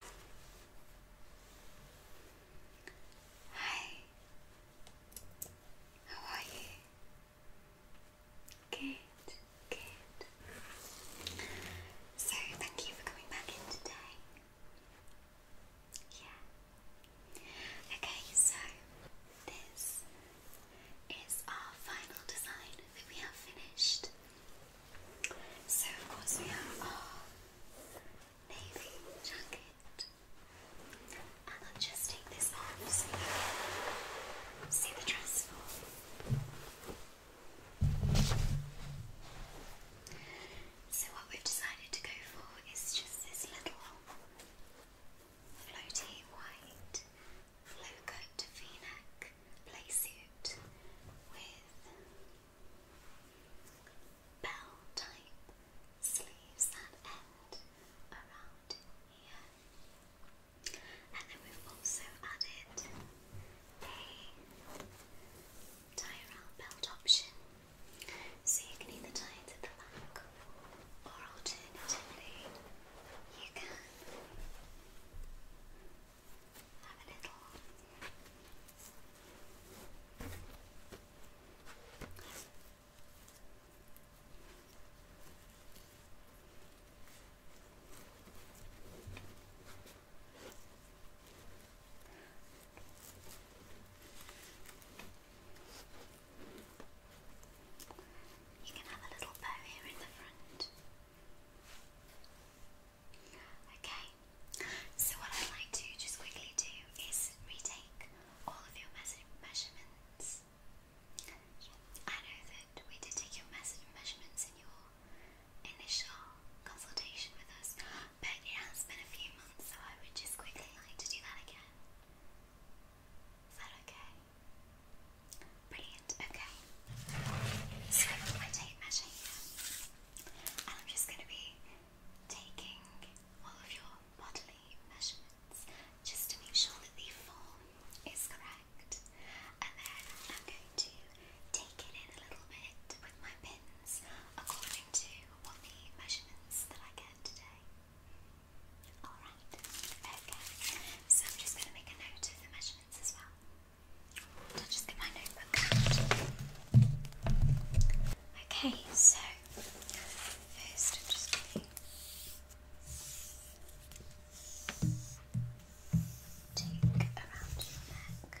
Hi, how are you? Good, good. So, thank you for coming back in today. Yeah. Okay, so this is our final design that we have finished. So of course we have our navy jacket. And I'll just take this off so you can see the dress So what we've decided to go for is just this little floaty white low cut v-neck play with bell type sleeves that end around here. And then we've also added a tie around belt option. So you can either tie it at the back or alternatively you can have you can have a little bow here in the front. Okay, so what I'd like to just quickly do is retake all of your measurements. I know that we did take your measurements in your initial consultation with us, but it has been a few months, so I would just quickly like to do that again. Is that okay? Brilliant, okay. So I've got my tape measure here. And I'm just going to be taking all of your bodily measurements just to make sure that the form is correct. And then I'm going to take it in a little bit with my pins according to what the measurements that I get today. Alright, okay. So I'm just going to make a note of the measurements as well. Okay, so first I'm just going to take around your neck.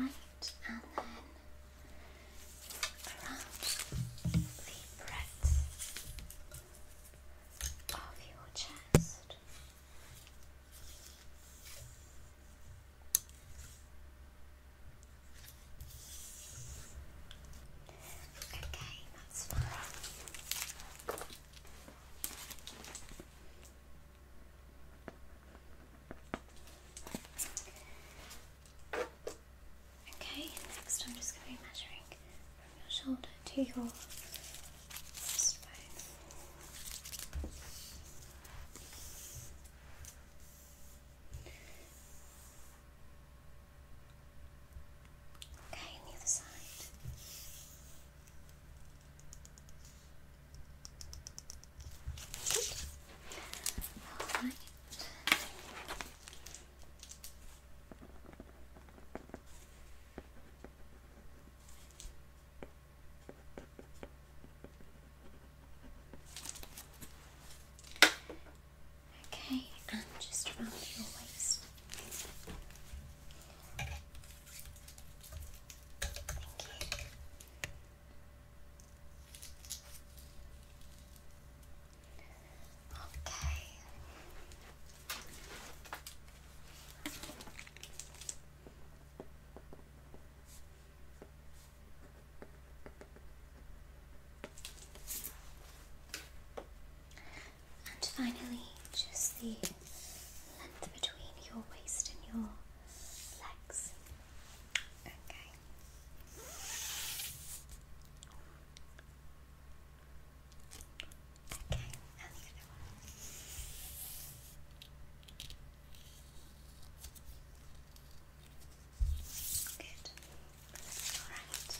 Right, and then around the breadth of your chest. Okay, that's fine. Okay, next I'm just going to be measuring from your shoulder to your breastbone. Okay, on the other side. Good. Okay, and just around your waist. Thank you. Okay. And finally, just the length between your waist and your legs. Okay. Okay, Good. All right.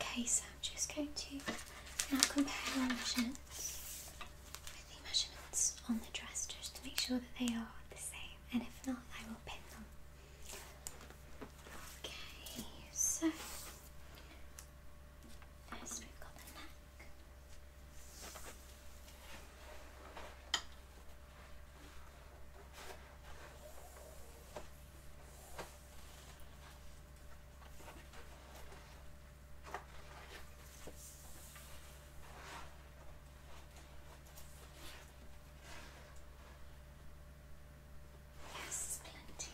Okay, so I'm just going to now compare our measurements with the measurements on the dress just to make sure that they are the same, and if not, I will pin them. Okay, so first we've got the neck. Yes, plenty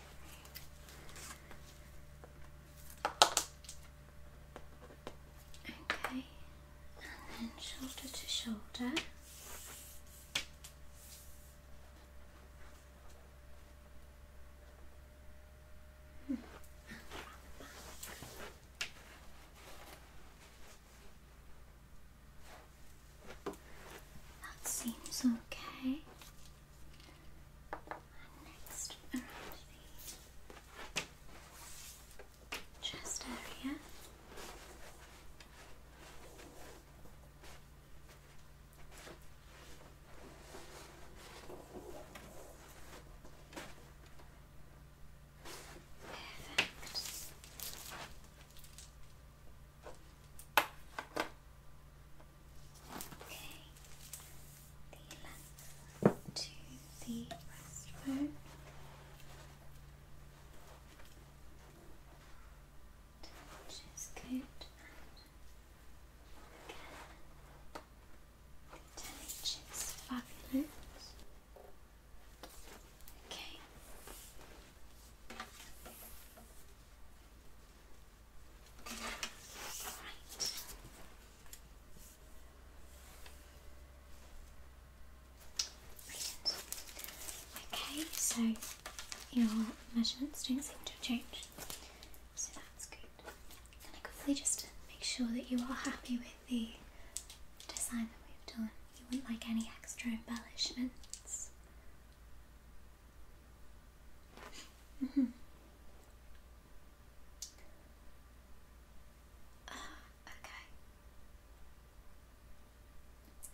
Okay, and then shoulder to shoulder. That seems okay. next around the chest area. Perfect. Okay, the length to the breastbone which is good. And again, is fabulous. Okay. Right. Okay, so your measurements don't seem to have changed, so that's good. Can I quickly just make sure that you are happy with the design that we've done? You wouldn't like any extra embellishments? Mm -hmm. okay.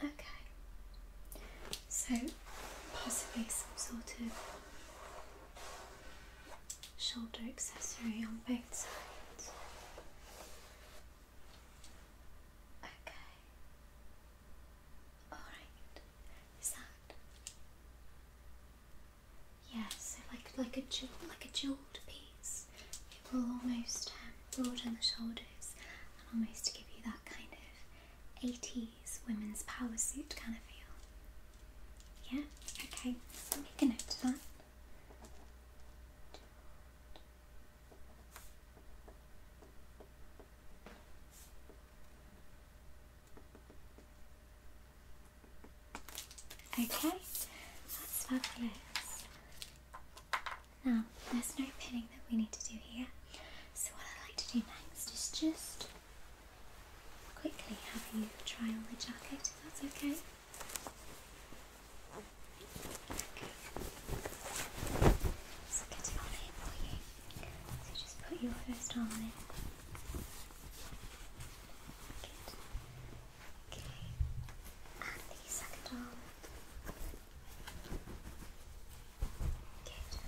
Okay, so possibly some sort of shoulder accessory on both sides. Okay, alright, is that? Yeah, like like a jewel, like a jeweled piece, it will almost um, broaden the shoulder photos and almost to give you that kind of 80s women's power suit kind of feel. Yeah, okay, make a note of that. Okay, that's fabulous. Now, there's no pinning that we need to do here. So what I'd like to do next is just quickly have you try on the jacket if that's okay. Okay. So get it on here for you. So just put your first arm in. Okay. And the second arm. Good.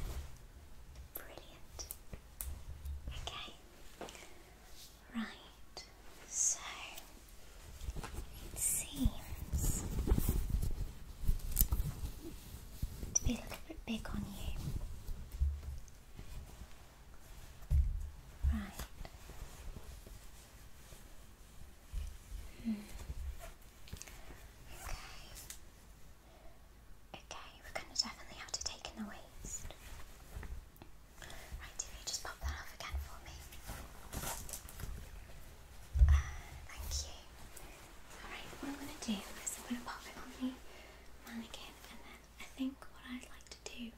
Brilliant. Okay. Right. So it seems to be a little bit big on you. Right. Hmm. Okay. Okay, we're going to definitely have to take in the waste. Right, if you just pop that off again for me. Uh, thank you. Alright, what I'm going to do is I'm going to pop it on the mannequin and then I think what I'd like to do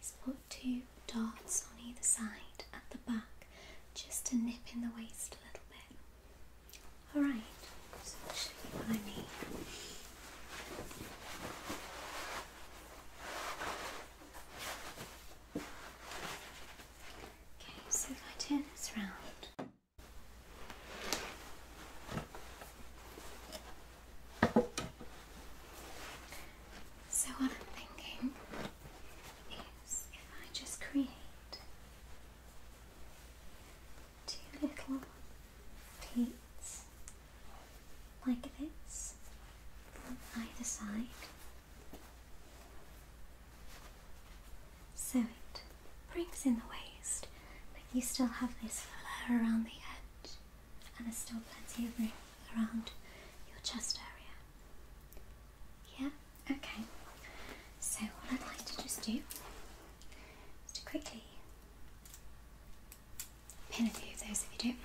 is put two dots on either side at the back just to nip in the waist a little bit. Alright, so I'll show you what I mean. Okay, so if I turn this round. So, what I'm thinking is if I just create two little pleats like this on either side. So it brings in the waist, but you still have this flare around the edge, and there's still plenty of room around your chest area. Yeah? Okay. So, what I'd like to just do is to quickly pin a few of those if you don't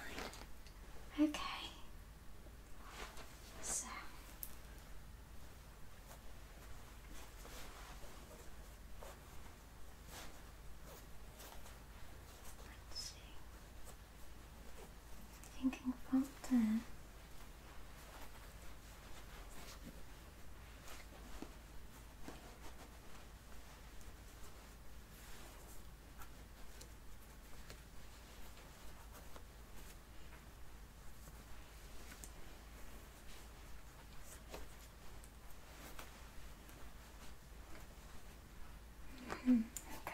mind. Okay. So. Let's see thinking from there. Hmm, okay.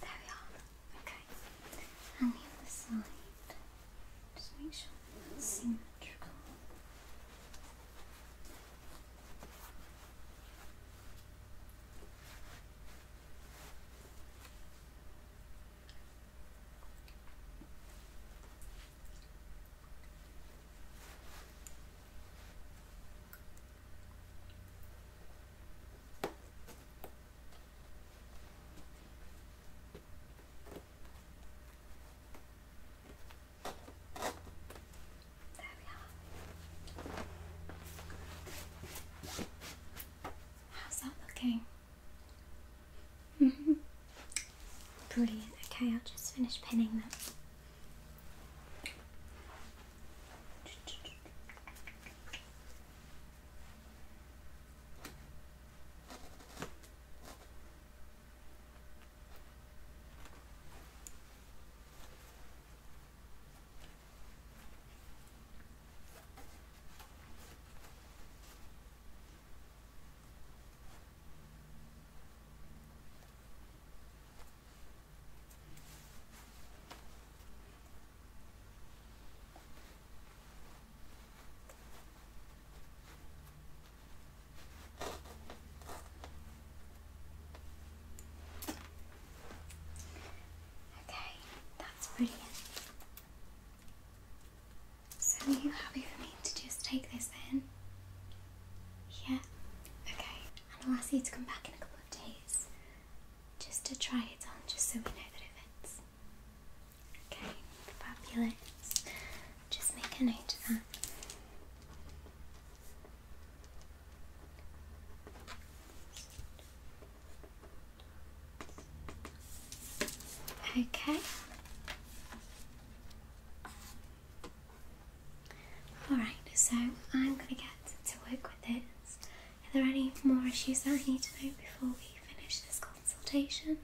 There we are. Okay. And the other side. Just make sure that's symmetrical. How's that looking? Mm-hmm. Brilliant. Okay, I'll just finish pinning that. Okay, that's brilliant. So are you happy for me to just take this then? Yeah? Okay. And I'll ask you to come back in a couple of days just to try it on, just so we know that it fits. Okay, fabulous. Just make a note of that. Okay, Okay. Alright, so I'm going to get to work with this. Are there any more issues that I need to know before we finish this consultation?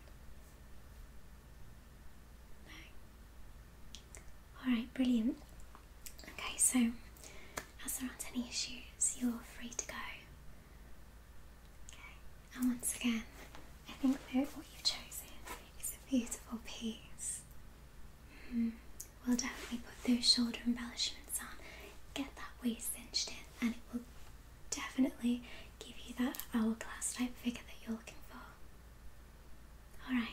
No? Alright, brilliant. Okay, so as there aren't any issues, you're free to go and once again, I think that what you've chosen is a beautiful piece. Hmm, we'll definitely put those shoulder embellishments on, get that waist cinched in, and it will definitely give you that hourglass type figure that you're looking for. Alright.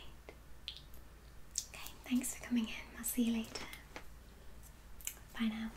Okay, thanks for coming in. I'll see you later. Bye now.